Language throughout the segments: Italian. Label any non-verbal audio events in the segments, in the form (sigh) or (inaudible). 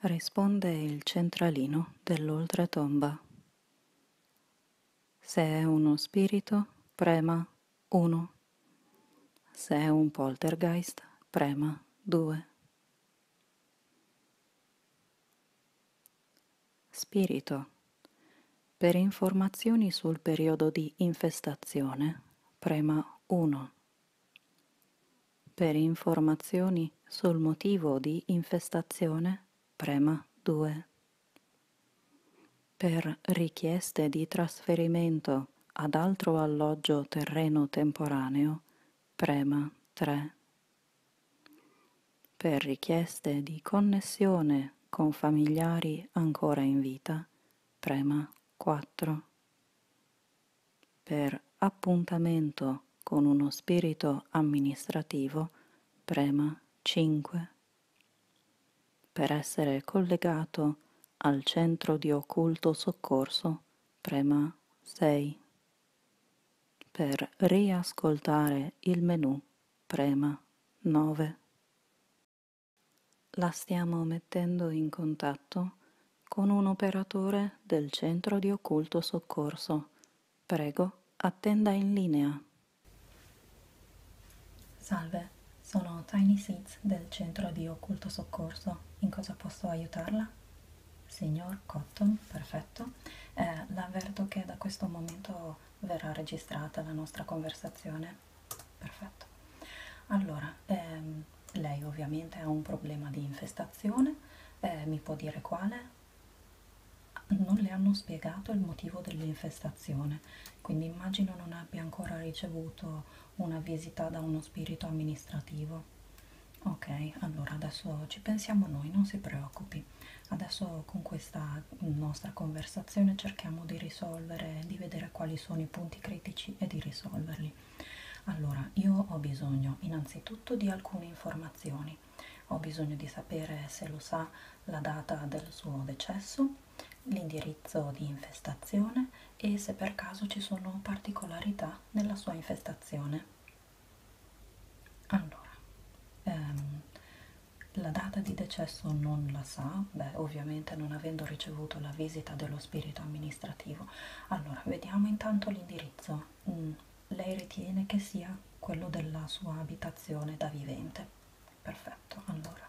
Risponde il centralino dell'oltretomba. Se è uno spirito, prema 1. Se è un poltergeist, prema 2. Spirito per informazioni sul periodo di infestazione, prema 1. Per informazioni sul motivo di infestazione, prema 2. Per richieste di trasferimento ad altro alloggio terreno temporaneo, prema 3. Per richieste di connessione con familiari ancora in vita, prema 4. Per appuntamento con uno spirito amministrativo, prema 5. Per essere collegato al centro di occulto soccorso, prema 6. Per riascoltare il menu, prema 9 la stiamo mettendo in contatto con un operatore del centro di occulto soccorso. Prego, attenda in linea. Salve, sono Tiny Seeds del centro di occulto soccorso. In cosa posso aiutarla? Signor Cotton, perfetto. Eh, l'avverto che da questo momento verrà registrata la nostra conversazione perfetto allora ehm, lei ovviamente ha un problema di infestazione eh, mi può dire quale non le hanno spiegato il motivo dell'infestazione quindi immagino non abbia ancora ricevuto una visita da uno spirito amministrativo ok allora adesso ci pensiamo noi non si preoccupi adesso con questa nostra conversazione cerchiamo di risolvere, di vedere quali sono i punti critici e di risolverli. Allora, io ho bisogno innanzitutto di alcune informazioni. Ho bisogno di sapere se lo sa la data del suo decesso, l'indirizzo di infestazione e se per caso ci sono particolarità nella sua infestazione. Allora, ehm, la data di decesso non la sa, beh ovviamente non avendo ricevuto la visita dello spirito amministrativo. Allora, vediamo intanto l'indirizzo. Mm, lei ritiene che sia quello della sua abitazione da vivente. Perfetto, allora.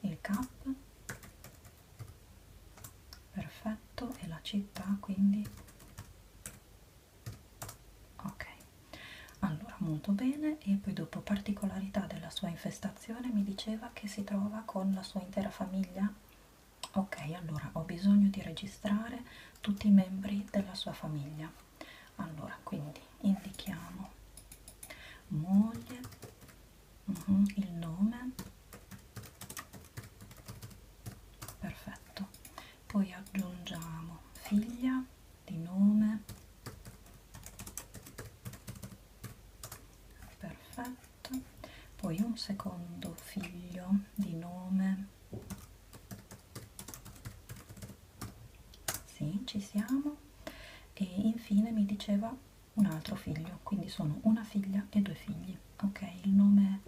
Il cap. Perfetto, e la città quindi ok allora molto bene e poi dopo particolarità della sua infestazione mi diceva che si trova con la sua intera famiglia ok allora ho bisogno di registrare tutti i membri della sua famiglia allora quindi indichiamo moglie uh mhm, -huh, il nome perfetto poi aggiungiamo figlia di nome perfetto poi un secondo figlio di nome sì ci siamo e infine mi diceva un altro figlio quindi sono una figlia e due figli ok il nome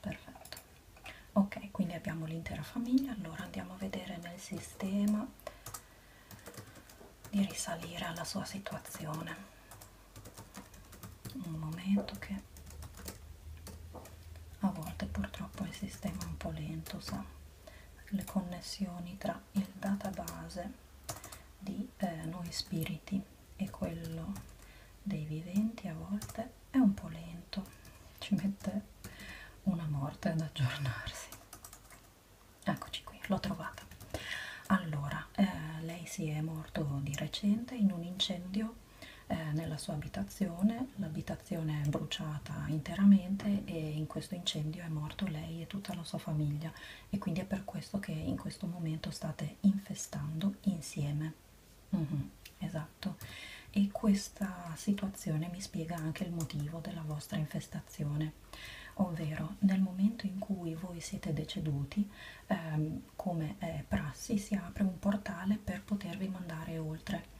perfetto ok quindi abbiamo l'intera famiglia allora andiamo a vedere nel sistema di risalire alla sua situazione un momento che a volte purtroppo il sistema è un po' lento sa le connessioni tra il database di eh, noi spiriti e quello dei viventi a volte è un po' lento, ci mette una morte ad aggiornarsi. Eccoci qui, l'ho trovata. Allora, eh, lei si è morto di recente in un incendio eh, nella sua abitazione, l'abitazione è bruciata interamente e in questo incendio è morto lei e tutta la sua famiglia e quindi è per questo che in questo momento state infestando insieme mm -hmm, esatto e questa situazione mi spiega anche il motivo della vostra infestazione ovvero nel momento in cui voi siete deceduti ehm, come eh, prassi si apre un portale per potervi mandare oltre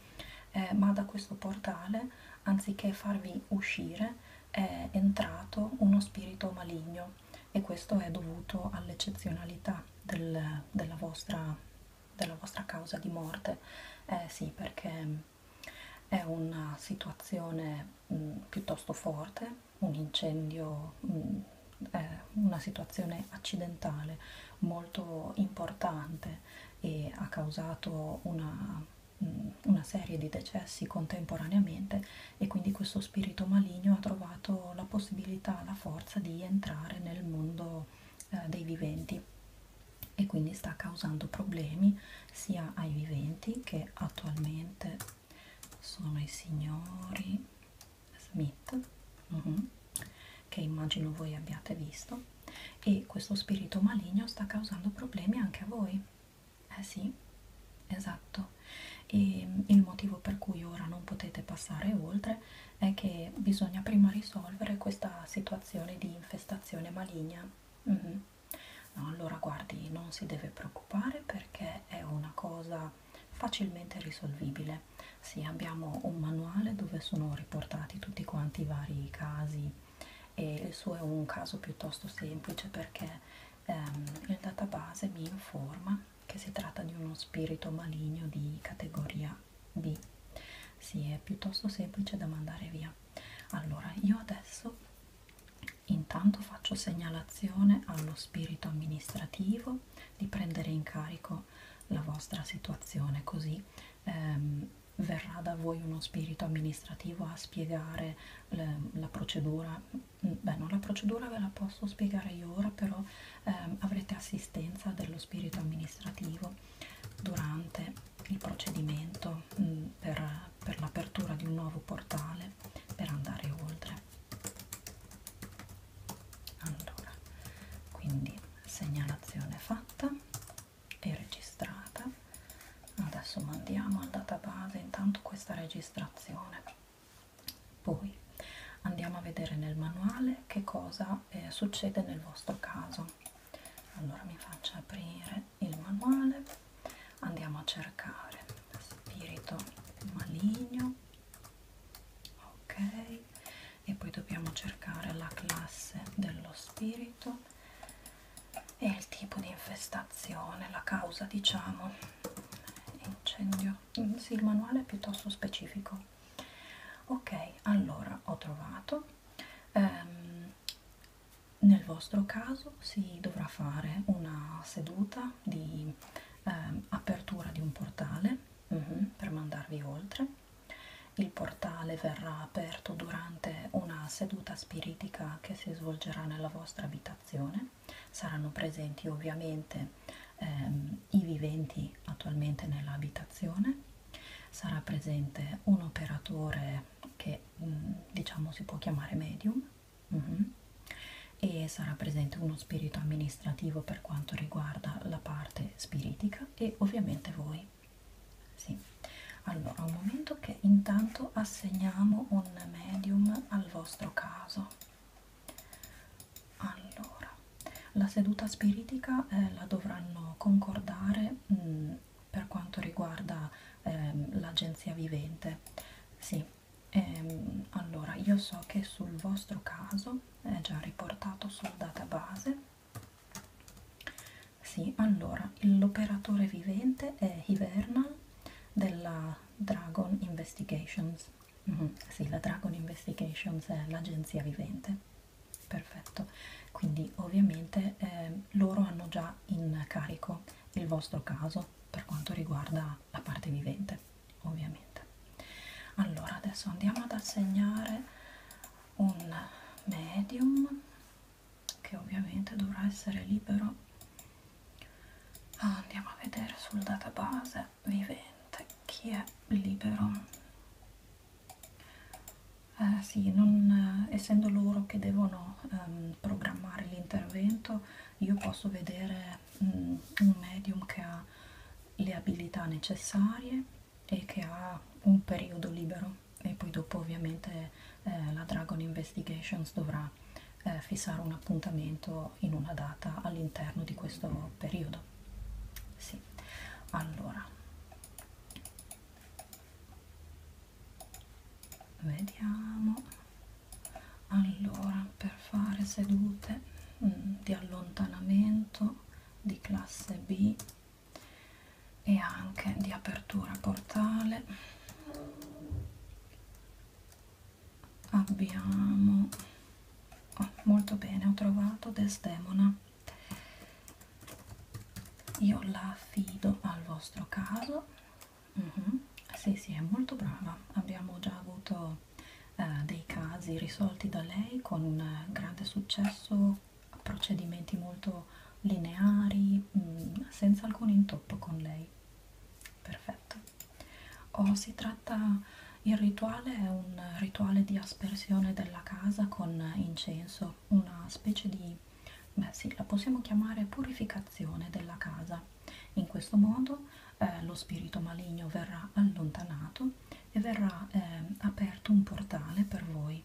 eh, ma da questo portale anziché farvi uscire è entrato uno spirito maligno e questo è dovuto all'eccezionalità del, della, vostra, della vostra causa di morte. Eh sì, perché è una situazione mh, mm, piuttosto forte, un incendio, mh, mm, una situazione accidentale molto importante e ha causato una... Mh, mm, una serie di decessi contemporaneamente e quindi questo spirito maligno ha trovato la possibilità, la forza di entrare nel mondo eh, dei viventi e quindi sta causando problemi sia ai viventi che attualmente sono i signori Smith uh mm-hmm, -huh, che immagino voi abbiate visto e questo spirito maligno sta causando problemi anche a voi eh sì, esatto. E il motivo per cui ora non potete passare oltre è che bisogna prima risolvere questa situazione di infestazione maligna. Mm -hmm. no, allora guardi, non si deve preoccupare perché è una cosa facilmente risolvibile. Sì, abbiamo un manuale dove sono riportati tutti quanti i vari casi e il suo è un caso piuttosto semplice perché ehm, il database mi informa che si tratta di uno spirito maligno di categoria B. Sì, è piuttosto semplice da mandare via. Allora, io adesso intanto faccio segnalazione allo spirito amministrativo di prendere in carico la vostra situazione, così ehm, verrà da voi uno spirito amministrativo a spiegare le, la procedura beh no, la procedura ve la posso spiegare io ora però ehm, avrete assistenza dello spirito amministrativo durante il procedimento mh, mm, per, per l'apertura di un nuovo portale per andare oltre allora quindi segnalazione fatta e registrata adesso mandiamo al database intanto questa registrazione poi andiamo a vedere nel manuale che cosa eh, succede nel vostro caso allora mi faccio aprire il manuale andiamo a cercare spirito maligno ok e poi dobbiamo cercare la classe dello spirito e il tipo di infestazione, la causa diciamo incendio. Sì, il manuale è piuttosto specifico. Ok, allora ho trovato. Ehm, nel vostro caso si dovrà fare una seduta di ehm, apertura di un portale uh mhm, -huh, per mandarvi oltre. Il portale verrà aperto durante una seduta spiritica attività che si svolgerà nella vostra abitazione. Saranno presenti ovviamente ehm, i viventi attualmente nell'abitazione, sarà presente un operatore che mh, mm, diciamo si può chiamare medium mm -hmm. e sarà presente uno spirito amministrativo per quanto riguarda la parte spiritica e ovviamente voi sì. Allora, un momento che intanto assegniamo un medium al vostro caso. Allora, la seduta spiritica eh, la dovranno concordare mh, mm, per quanto riguarda eh, l'agenzia vivente. Sì. Ehm, allora, io so che sul vostro caso è già riportato sul database sì, allora, l'operatore vivente è Hivernal della Dragon Investigations. Mm -hmm, sì, la Dragon Investigations è l'agenzia vivente. Perfetto, quindi ovviamente eh, loro hanno già in carico il vostro caso per quanto riguarda la parte vivente, ovviamente. Allora, adesso andiamo ad assegnare un medium che ovviamente dovrà essere libero ah, andiamo a vedere sul database vivente chi è libero eh, sì, non, eh, essendo loro che devono ehm, programmare l'intervento, io posso vedere mh, mm, un medium che ha le abilità necessarie e che ha un periodo libero e poi dopo ovviamente eh, la Dragon Investigations dovrà eh, fissare un appuntamento in una data all'interno di questo periodo. Sì, allora vediamo allora per fare sedute mh, mm, di allontanamento di classe B e anche di apertura portale abbiamo oh, molto bene ho trovato desdemona io la affido al vostro caso uh mhm. -huh. sì sì è molto brava abbiamo già avuto eh, dei casi risolti da lei con eh, grande successo procedimenti molto lineari, mh, mm, senza alcun intoppo con lei. Perfetto. O oh, si tratta, il rituale è un rituale di aspersione della casa con incenso, una specie di, beh sì, la possiamo chiamare purificazione della casa. In questo modo eh, lo spirito maligno verrà allontanato e verrà eh, aperto un portale per voi voi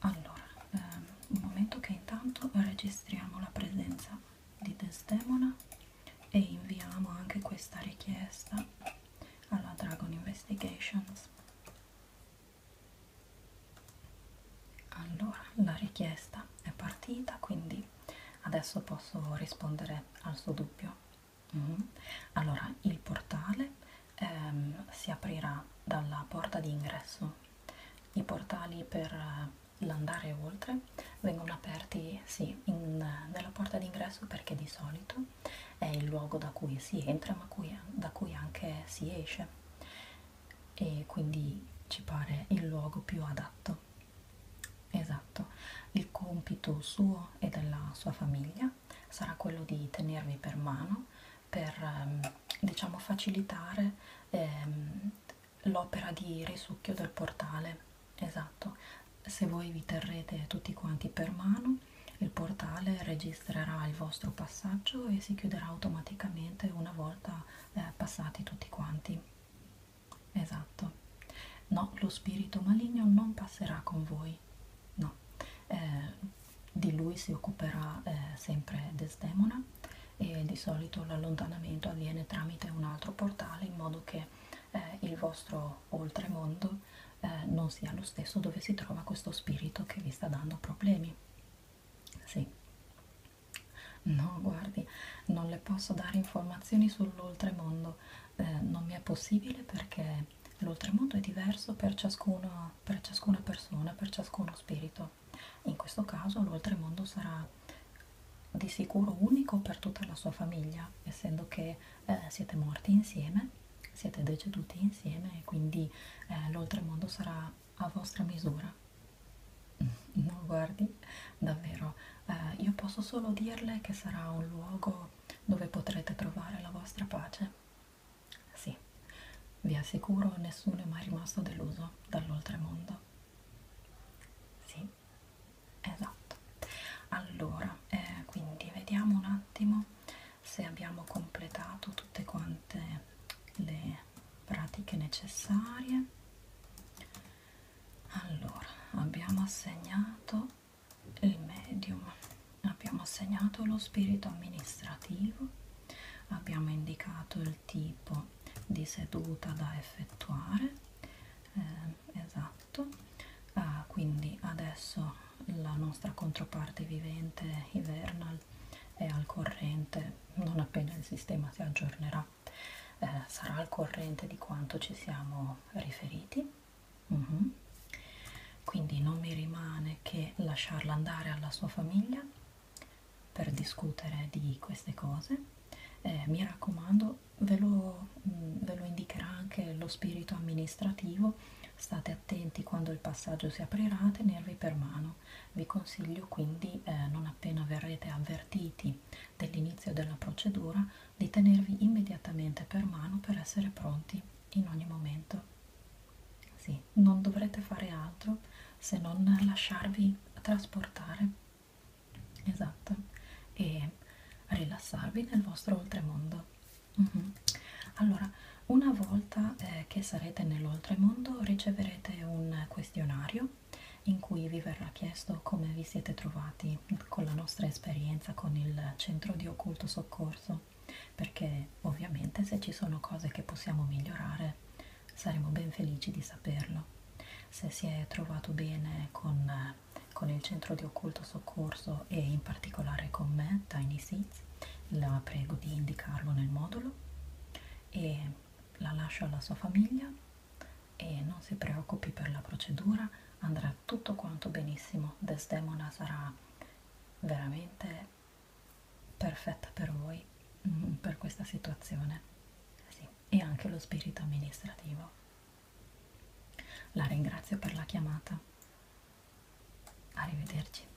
allora ehm, un momento che intanto registriamo la presenza di Desdemona e inviamo anche questa richiesta alla Dragon Investigations allora la richiesta è partita quindi adesso posso rispondere al suo dubbio Mm. Allora, il portale ehm, si aprirà dalla porta di ingresso. I portali per eh, l'andare oltre vengono aperti sì, in, nella porta di ingresso perché di solito è il luogo da cui si entra ma cui, da cui anche si esce e quindi ci pare il luogo più adatto. Esatto, il compito suo e della sua famiglia sarà quello di tenervi per mano per ehm, diciamo facilitare ehm, l'opera di risucchio del portale esatto se voi vi terrete tutti quanti per mano il portale registrerà il vostro passaggio e si chiuderà automaticamente una volta eh, passati tutti quanti esatto no lo spirito maligno non passerà con voi lui no eh, di lui si occuperà eh, sempre Desdemona e di solito l'allontanamento avviene tramite un altro portale in modo che eh, il vostro oltremondo eh, non sia lo stesso dove si trova questo spirito che vi sta dando problemi sì no guardi non le posso dare informazioni sull'oltremondo eh, non mi è possibile perché L'oltremondo è diverso per, ciascuno, per ciascuna persona, per ciascuno spirito. In questo caso l'oltremondo sarà di sicuro unico per tutta la sua famiglia, essendo che eh, siete morti insieme, siete deceduti insieme e quindi eh, l'oltremondo sarà a vostra misura. (laughs) Non guardi, davvero, eh, io posso solo dirle che sarà un luogo dove potrete trovare la vostra pace. Sì, vi assicuro nessuno è mai rimasto deluso dall'oltremondo. Sì, esatto. Allora, eh, quindi vediamo un attimo se abbiamo completato tutte quante le pratiche necessarie. Allora, abbiamo assegnato il medium abbiamo assegnato lo spirito amministrativo abbiamo indicato il tipo di seduta da effettuare eh, esatto ah, quindi adesso la nostra controparte vivente Hivernal è al corrente non appena il sistema si aggiornerà eh, sarà al corrente di quanto ci siamo riferiti Mm-hmm. Quindi non mi rimane che lasciarla andare alla sua famiglia per discutere di queste cose. Eh, mi raccomando, ve lo, mh, mm, ve lo indicherà anche lo spirito amministrativo. State attenti quando il passaggio si aprirà a tenervi per mano. Vi consiglio quindi, eh, non appena verrete avvertiti dell'inizio della procedura, di tenervi immediatamente per mano per essere pronti in ogni momento. Sì, non dovrete fare altro se non lasciarvi trasportare, esatto, e rilassarvi nel vostro oltremondo. Uh mhm. -huh. Allora, una volta eh, che sarete nell'oltremondo riceverete un questionario in cui vi verrà chiesto come vi siete trovati con la nostra esperienza con il centro di occulto soccorso perché ovviamente se ci sono cose che possiamo migliorare saremo ben felici di saperlo. Se si è trovato bene con, con il centro di occulto soccorso e in particolare con me, Tiny Seeds, la prego di indicarlo nel modulo e la lascio alla sua famiglia e non si preoccupi per la procedura, andrà tutto quanto benissimo. Desdemona sarà veramente perfetta per voi, mm, per questa situazione sì. e anche lo spirito amministrativo. La ringrazio per la chiamata. Arrivederci.